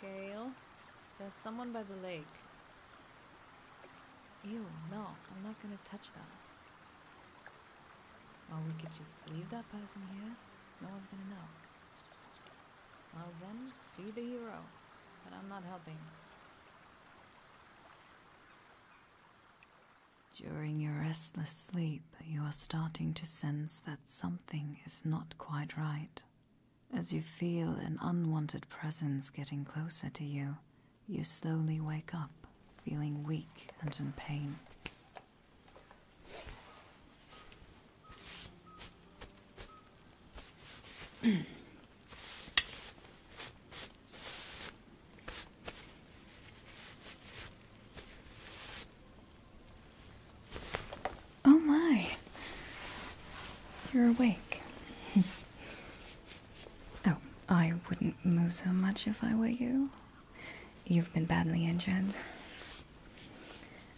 Gail, there's someone by the lake. Ew, no, I'm not gonna touch them. Well, we could just leave that person here. No one's gonna know. Well then, be the hero. But I'm not helping. During your restless sleep, you are starting to sense that something is not quite right. As you feel an unwanted presence getting closer to you, you slowly wake up, feeling weak and in pain. Oh my, you're awake. oh, I wouldn't move so much if I were you. You've been badly injured.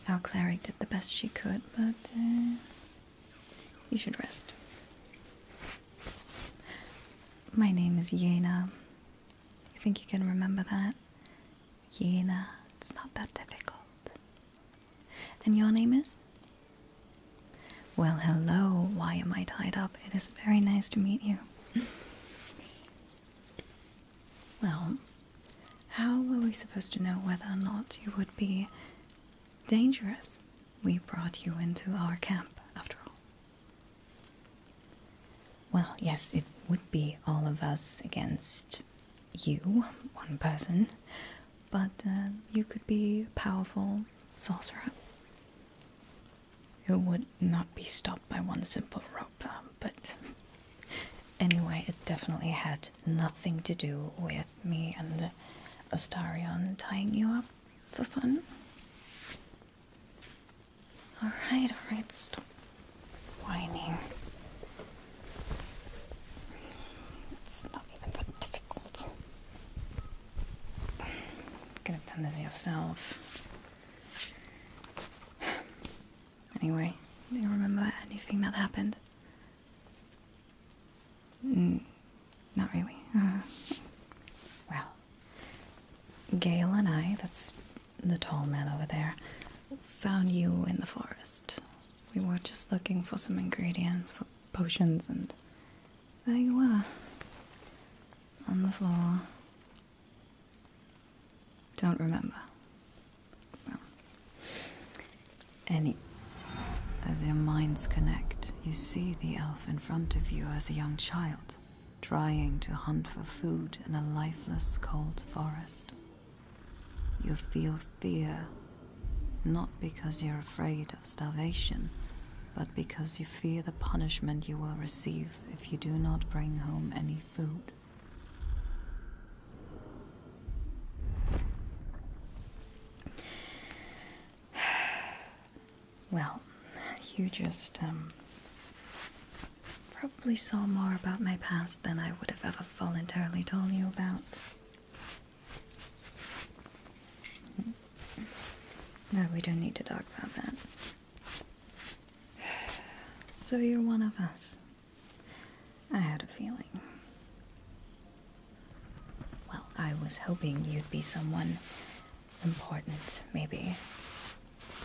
Our Clary did the best she could, but uh, you should rest. My name is Yena. You think you can remember that? Yena, it's not that difficult. And your name is? Well, hello. Why am I tied up? It is very nice to meet you. well, how were we supposed to know whether or not you would be dangerous? We brought you into our camp, after all. Well, yes, it would be all of us against you, one person, but uh, you could be a powerful sorcerer who would not be stopped by one simple rope. Um, but anyway, it definitely had nothing to do with me and Astarion tying you up for fun. Alright, alright, stop whining. It's not even that difficult. You could have done this yourself. Anyway, do you remember anything that happened? Mm, not really. Uh, well, Gail and I, that's the tall man over there, found you in the forest. We were just looking for some ingredients for potions, and there you were. On the floor. Don't remember. any. As your minds connect, you see the elf in front of you as a young child, trying to hunt for food in a lifeless, cold forest. You feel fear, not because you're afraid of starvation, but because you fear the punishment you will receive if you do not bring home any food. Well, you just, um, Probably saw more about my past than I would have ever voluntarily told you about. No, we don't need to talk about that. So you're one of us. I had a feeling. Well, I was hoping you'd be someone important, maybe.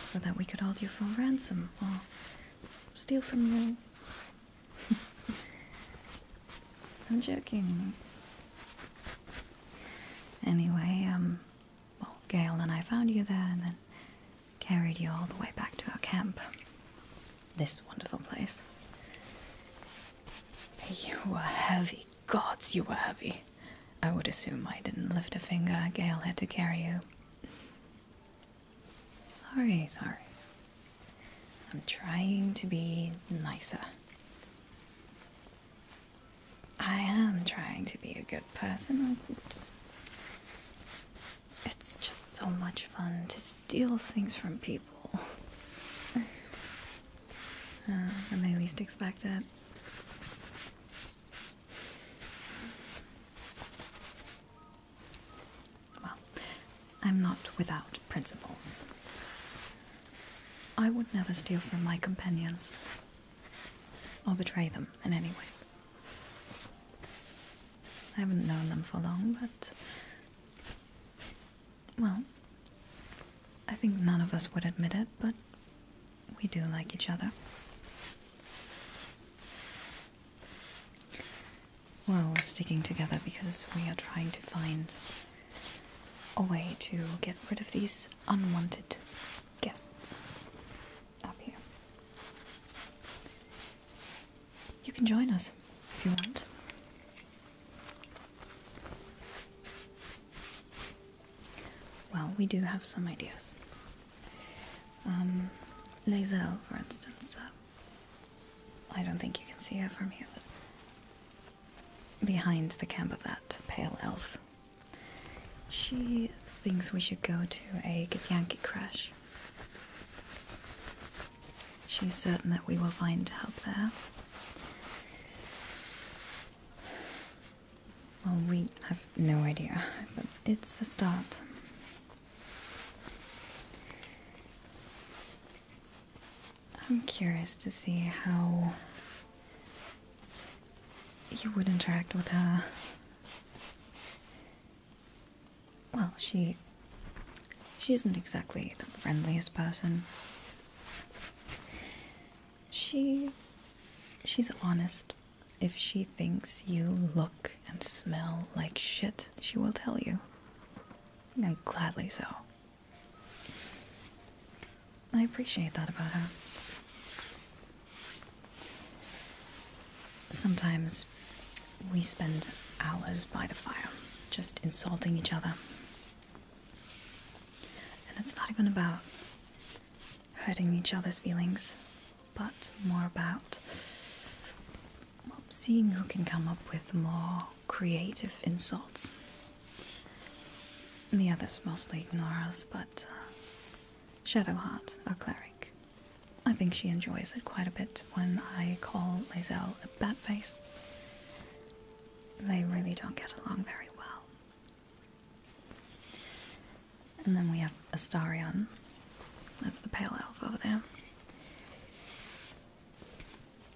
So that we could hold you for ransom, or steal from you. I'm joking. Anyway, um, well, Gail and I found you there and then carried you all the way back to our camp. This wonderful place. You were heavy. Gods, you were heavy. I would assume I didn't lift a finger. Gail had to carry you. Sorry, sorry. I'm trying to be nicer. I am trying to be a good person. Just, it's just so much fun to steal things from people. uh, when they least expect it. Well, I'm not without principles. I would never steal from my companions or betray them in any way. I haven't known them for long, but. Well, I think none of us would admit it, but we do like each other. Well, we're sticking together because we are trying to find a way to get rid of these unwanted guests up here. You can join us if you want. Well, we do have some ideas. Um, Lazel, for instance. Uh, I don't think you can see her from here, but behind the camp of that pale elf. She thinks we should go to a Githyanki crash. She's certain that we will find help there. Well, we have no idea, but it's a start. I'm curious to see how you would interact with her. Well, she. she isn't exactly the friendliest person. She. she's honest if she thinks you look and smell like shit, she will tell you. And gladly so. I appreciate that about her. Sometimes we spend hours by the fire just insulting each other. And it's not even about hurting each other's feelings but more about seeing who can come up with more creative insults. The others mostly ignore us, but uh, Shadowheart, our cleric, I think she enjoys it quite a bit when I call Lazelle a batface. They really don't get along very well. And then we have Astarian. That's the pale elf over there.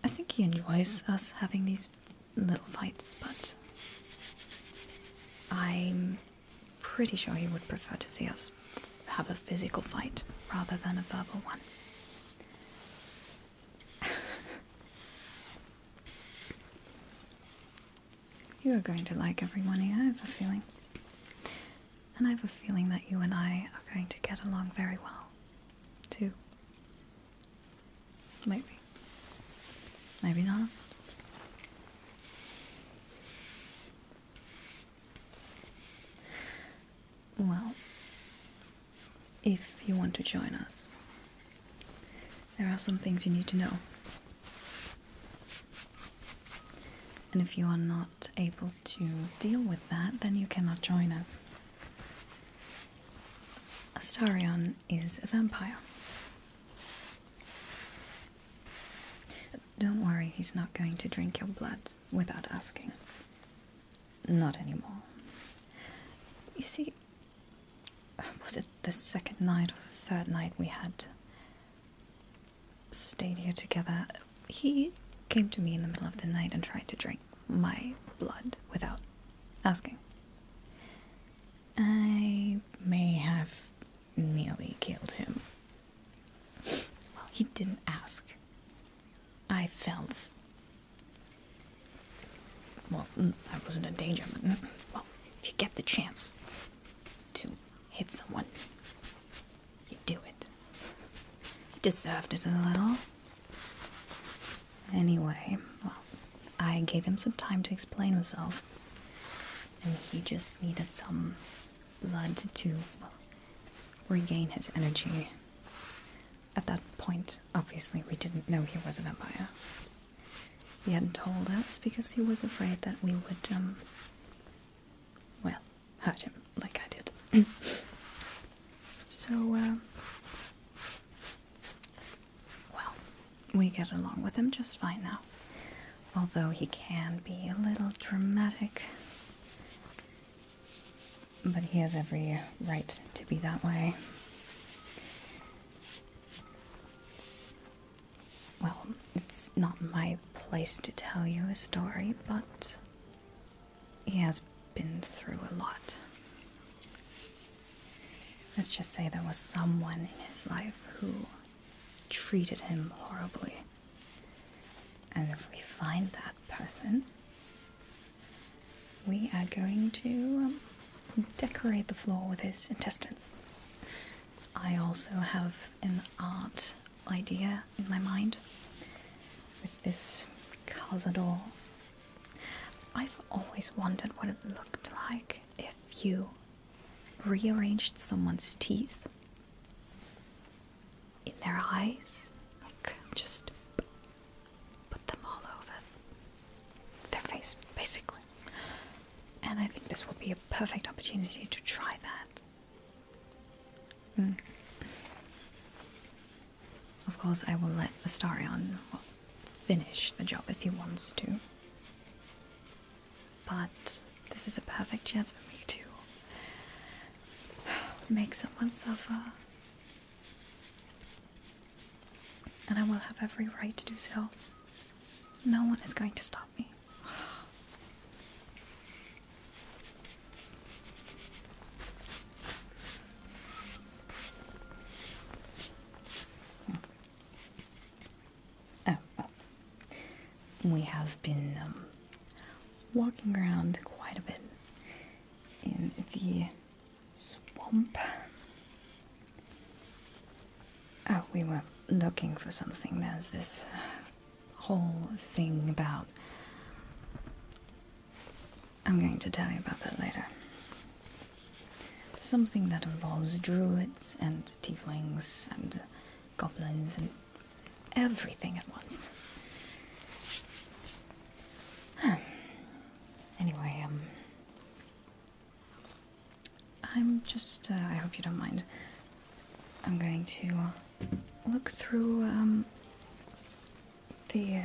I think he enjoys us having these little fights, but I'm pretty sure he would prefer to see us have a physical fight rather than a verbal one. you are going to like everyone here, I have a feeling and I have a feeling that you and I are going to get along very well, too. Maybe. Maybe not. Well, if you want to join us, there are some things you need to know. And if you are not able to deal with that, then you cannot join us. Astarion is a vampire. Don't worry, he's not going to drink your blood without asking. Not anymore. You see, was it the second night or the third night we had stayed here together, he came to me in the middle of the night and tried to drink my blood without asking. I may have nearly killed him. Well, he didn't ask. I felt. Well, mm, I wasn't in danger, but. Mm, well, if you get the chance to hit someone, you do it. You deserved it a little. Anyway, well, I gave him some time to explain himself. And he just needed some blood to regain his energy. At that point, obviously, we didn't know he was a vampire. He hadn't told us because he was afraid that we would, um, well, hurt him like I did. so, um, well, we get along with him just fine now. Although he can be a little dramatic. But he has every right to be that way. Well, it's not my place to tell you a story, but he has been through a lot. Let's just say there was someone in his life who treated him horribly. And if we find that person, we are going to um, decorate the floor with his intestines. I also have an art idea in my mind with this calzador. I've always wondered what it looked like if you rearranged someone's teeth in their eyes, like just put them all over their face, basically. And I think this will be a perfect opportunity to try that. Mm. Of course, I will let Astarian finish the job if he wants to. But this is a perfect chance for me to make someone suffer. And I will have every right to do so. No one is going to stop Oh, we have been um, walking around quite a bit in the swamp. Oh, we were looking for something. There's this whole thing about. I'm going to tell you about that later. Something that involves druids and tieflings and goblins and everything at once. anyway, um. I'm just, uh, I hope you don't mind. I'm going to look through um, the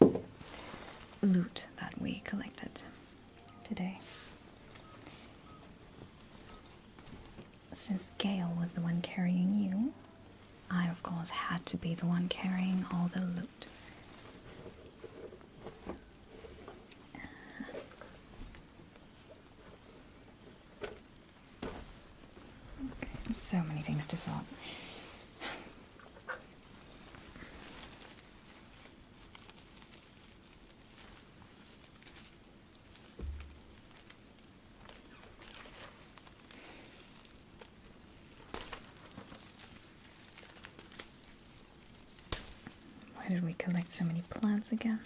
uh, loot that we collected today. Since Gale was the one carrying you, I of course had to be the one carrying all the loot. Okay, so many things to solve. Why did we collect so many plants again?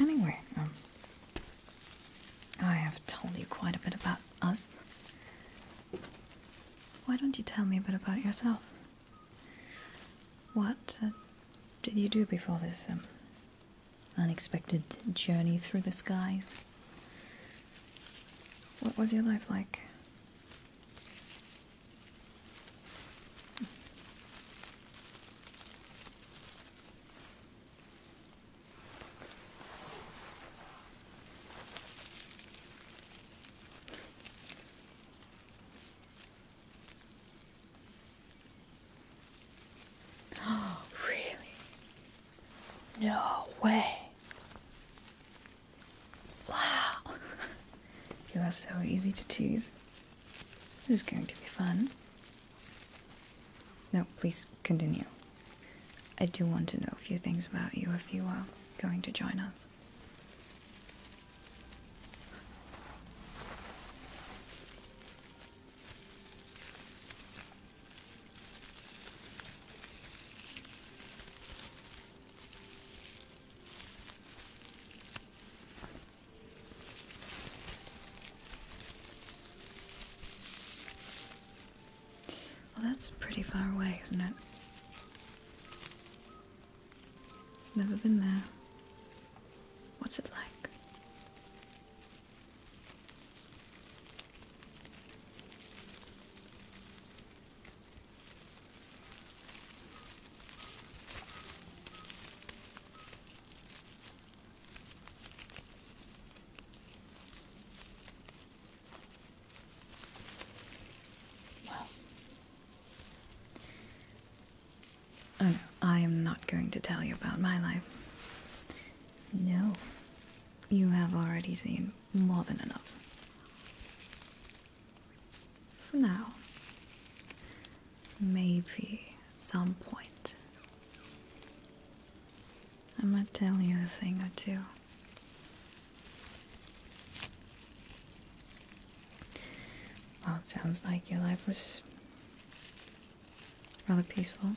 Anyway, um, I have told you quite a bit about us. Why don't you tell me a bit about yourself? What uh, did you do before this um, unexpected journey through the skies. What was your life like? Oh, really? No way. Wow. you are so easy to tease. This is going to be fun. No, please continue. I do want to know a few things about you if you are going to join us. Well, that's pretty far away, isn't it? Never been there. What's it like? I am not going to tell you about my life. No, you have already seen more than enough. For now, maybe at some point, I might tell you a thing or two. Well, it sounds like your life was rather peaceful.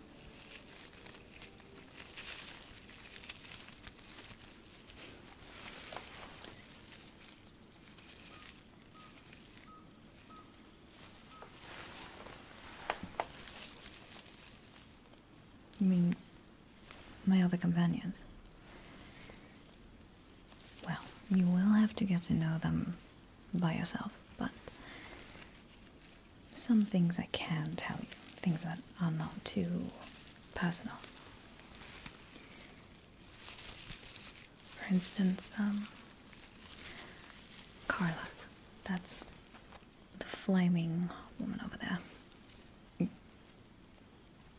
You mean my other companions? Well, you will have to get to know them by yourself, but some things I can tell you, things that are not too personal. For instance, um, Carla, that's the flaming woman over there.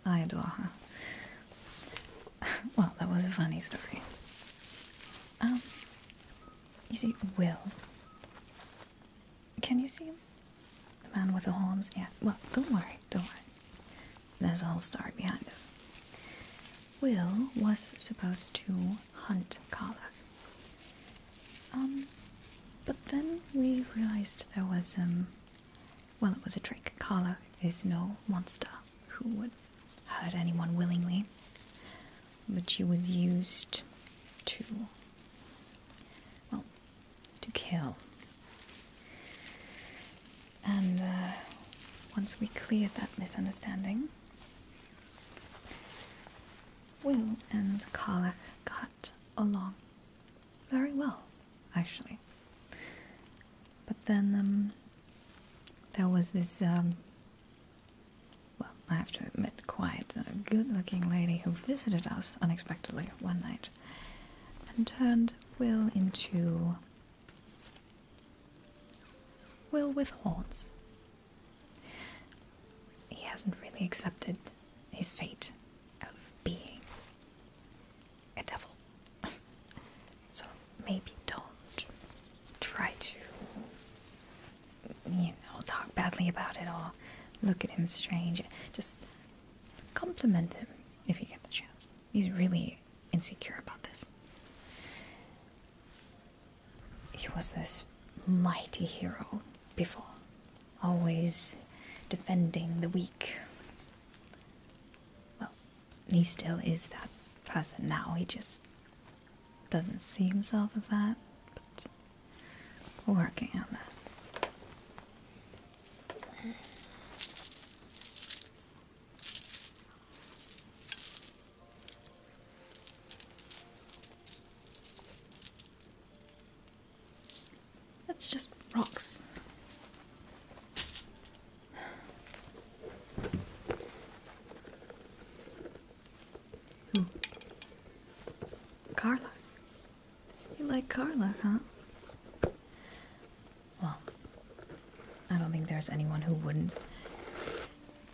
I adore her. Well, that was a funny story. Um, you see, Will. Can you see him? The man with the horns? Yeah. Well, don't worry, don't worry. There's a whole story behind this. Will was supposed to hunt Carla. Um, but then we realized there was, um, well, it was a trick. Carla is no monster who would hurt anyone willingly but she was used to, well, to kill. And uh, once we cleared that misunderstanding, Will and Karlach got along very well, actually. But then um, there was this um, well, I have to admit, quite a good looking lady who visited us unexpectedly one night and turned Will into. Will with horns. He hasn't really accepted his fate of being a devil. so maybe don't try to you know, talk badly about it or look at him strange. Just compliment him if you get the chance. He's really insecure about this. He was this mighty hero before, always defending the weak. Well, he still is that person now. He just doesn't see himself as that, but working on that. That's just rocks. Hmm. Carla. You like Carla, huh? Well, I don't think there's anyone who wouldn't.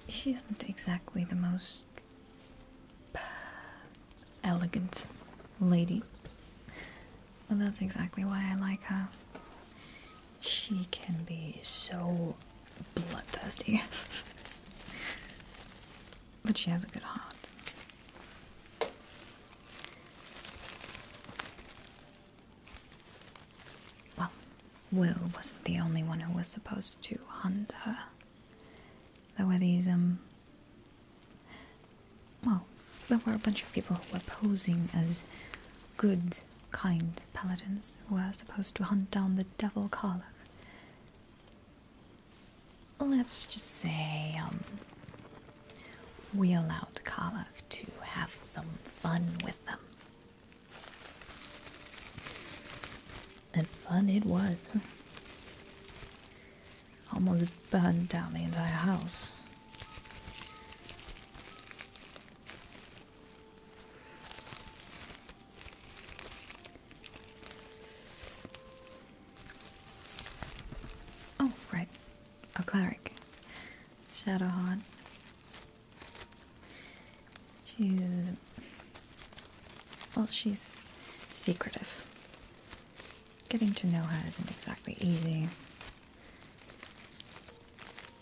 She isn't exactly the most elegant lady. but that's exactly why I like her. She can be so bloodthirsty. but she has a good heart. Well, Will wasn't the only one who was supposed to hunt her. There were these, um. Well, there were a bunch of people who were posing as good, kind paladins who were supposed to hunt down the devil Karlach let's just say um, we allowed Kalak to have some fun with them. And fun it was. Almost burned down the entire house. Oh, right. A cleric. Shadowhawk. She's... Well, she's secretive. Getting to know her isn't exactly easy.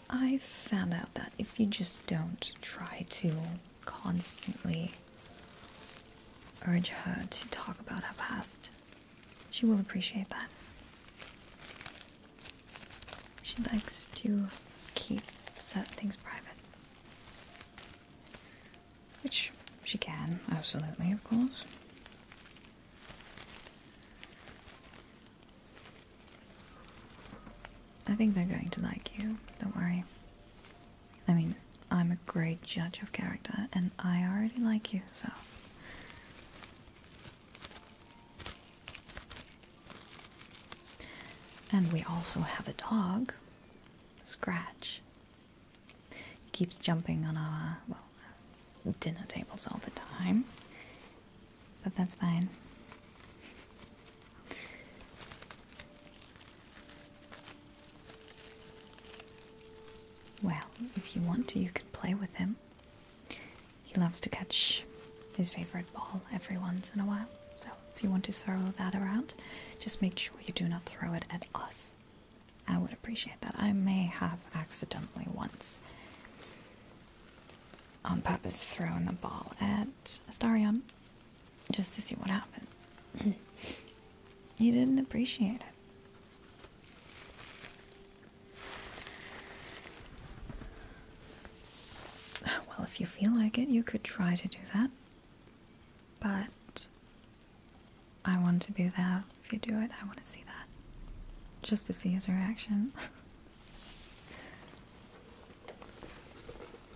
i found out that if you just don't try to constantly urge her to talk about her past. She will appreciate that. She likes to keep certain things private. Which she can, absolutely, of course. I think they're going to like you, don't worry. I mean, I'm a great judge of character, and I already like you, so. And we also have a dog, Scratch. keeps jumping on our, dinner tables all the time. But that's fine. Well, if you want to, you can play with him. He loves to catch his favorite ball every once in a while, so if you want to throw that around, just make sure you do not throw it at us. I would appreciate that. I may have accidentally once on purpose throwing the ball at Astarion, just to see what happens. You didn't appreciate it. Well, if you feel like it, you could try to do that. But I want to be there. If you do it, I want to see that. Just to see his reaction.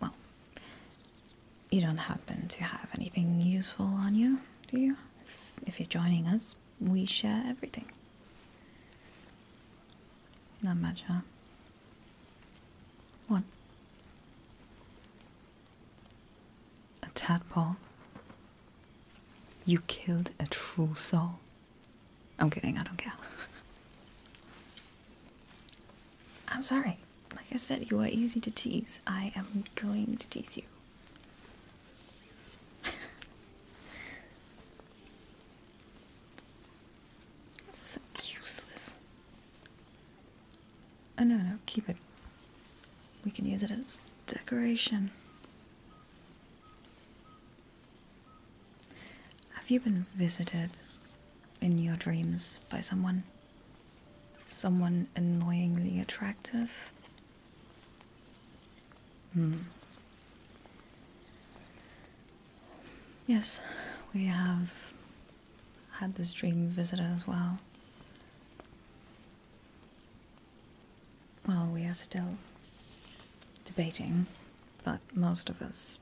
Well, you don't happen to have anything useful on you, do you? If, you're joining us, we share everything. Not much, huh? What? A tadpole? You killed a true soul? I'm kidding, I don't care. I'm sorry. Like I said, you are easy to tease. I am going to tease you. so useless. Oh no, no, keep it. We can use it as decoration. Have you been visited in your dreams by someone? Someone annoyingly attractive? Hmm. Yes, we have had this dream visitor as well. Well, we are still debating, but most of us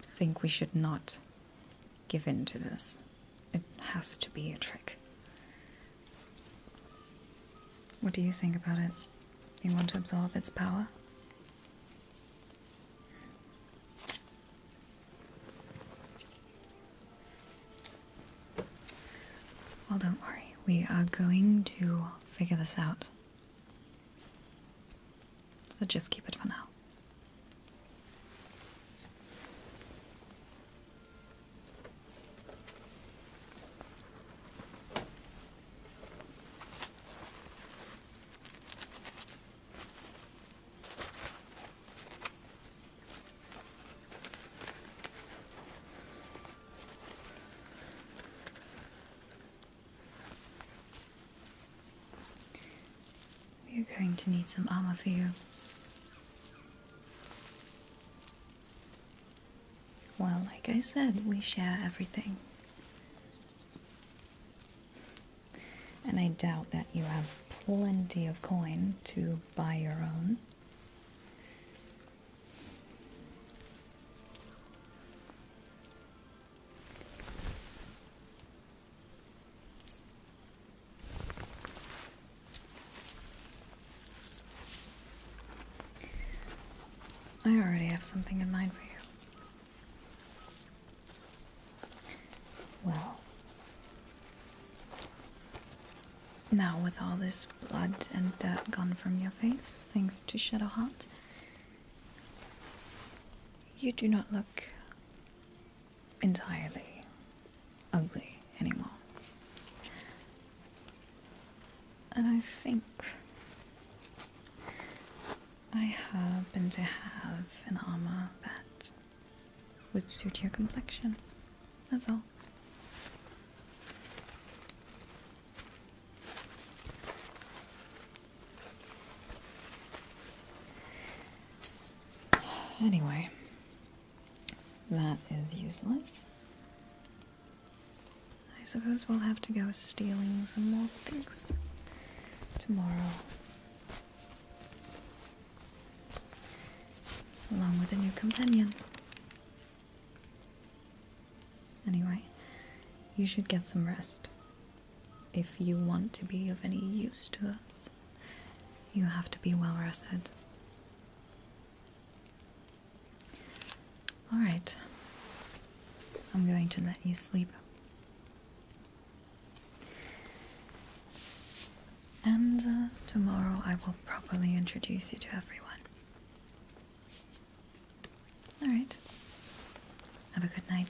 think we should not give in to this. It has to be a trick. What do you think about it? You want to absorb its power? Well, don't worry. We are going to figure this out. So just keep it for now we are going to need some armor for you. Well, like I said, we share everything. And I doubt that you have plenty of coin to buy your own. I already have something in mind for you. Well, now, with all this blood and dirt gone from your face, thanks to Shadowheart, you do not look entirely ugly anymore. And I think I happen to have an armor that would suit your complexion. That's all. Anyway, that is useless. I suppose we'll have to go stealing some more things tomorrow along with a new companion. Anyway, you should get some rest. If you want to be of any use to us, you have to be well rested. Alright, I'm going to let you sleep and uh, tomorrow I will properly introduce you to everyone. Alright, have a good night.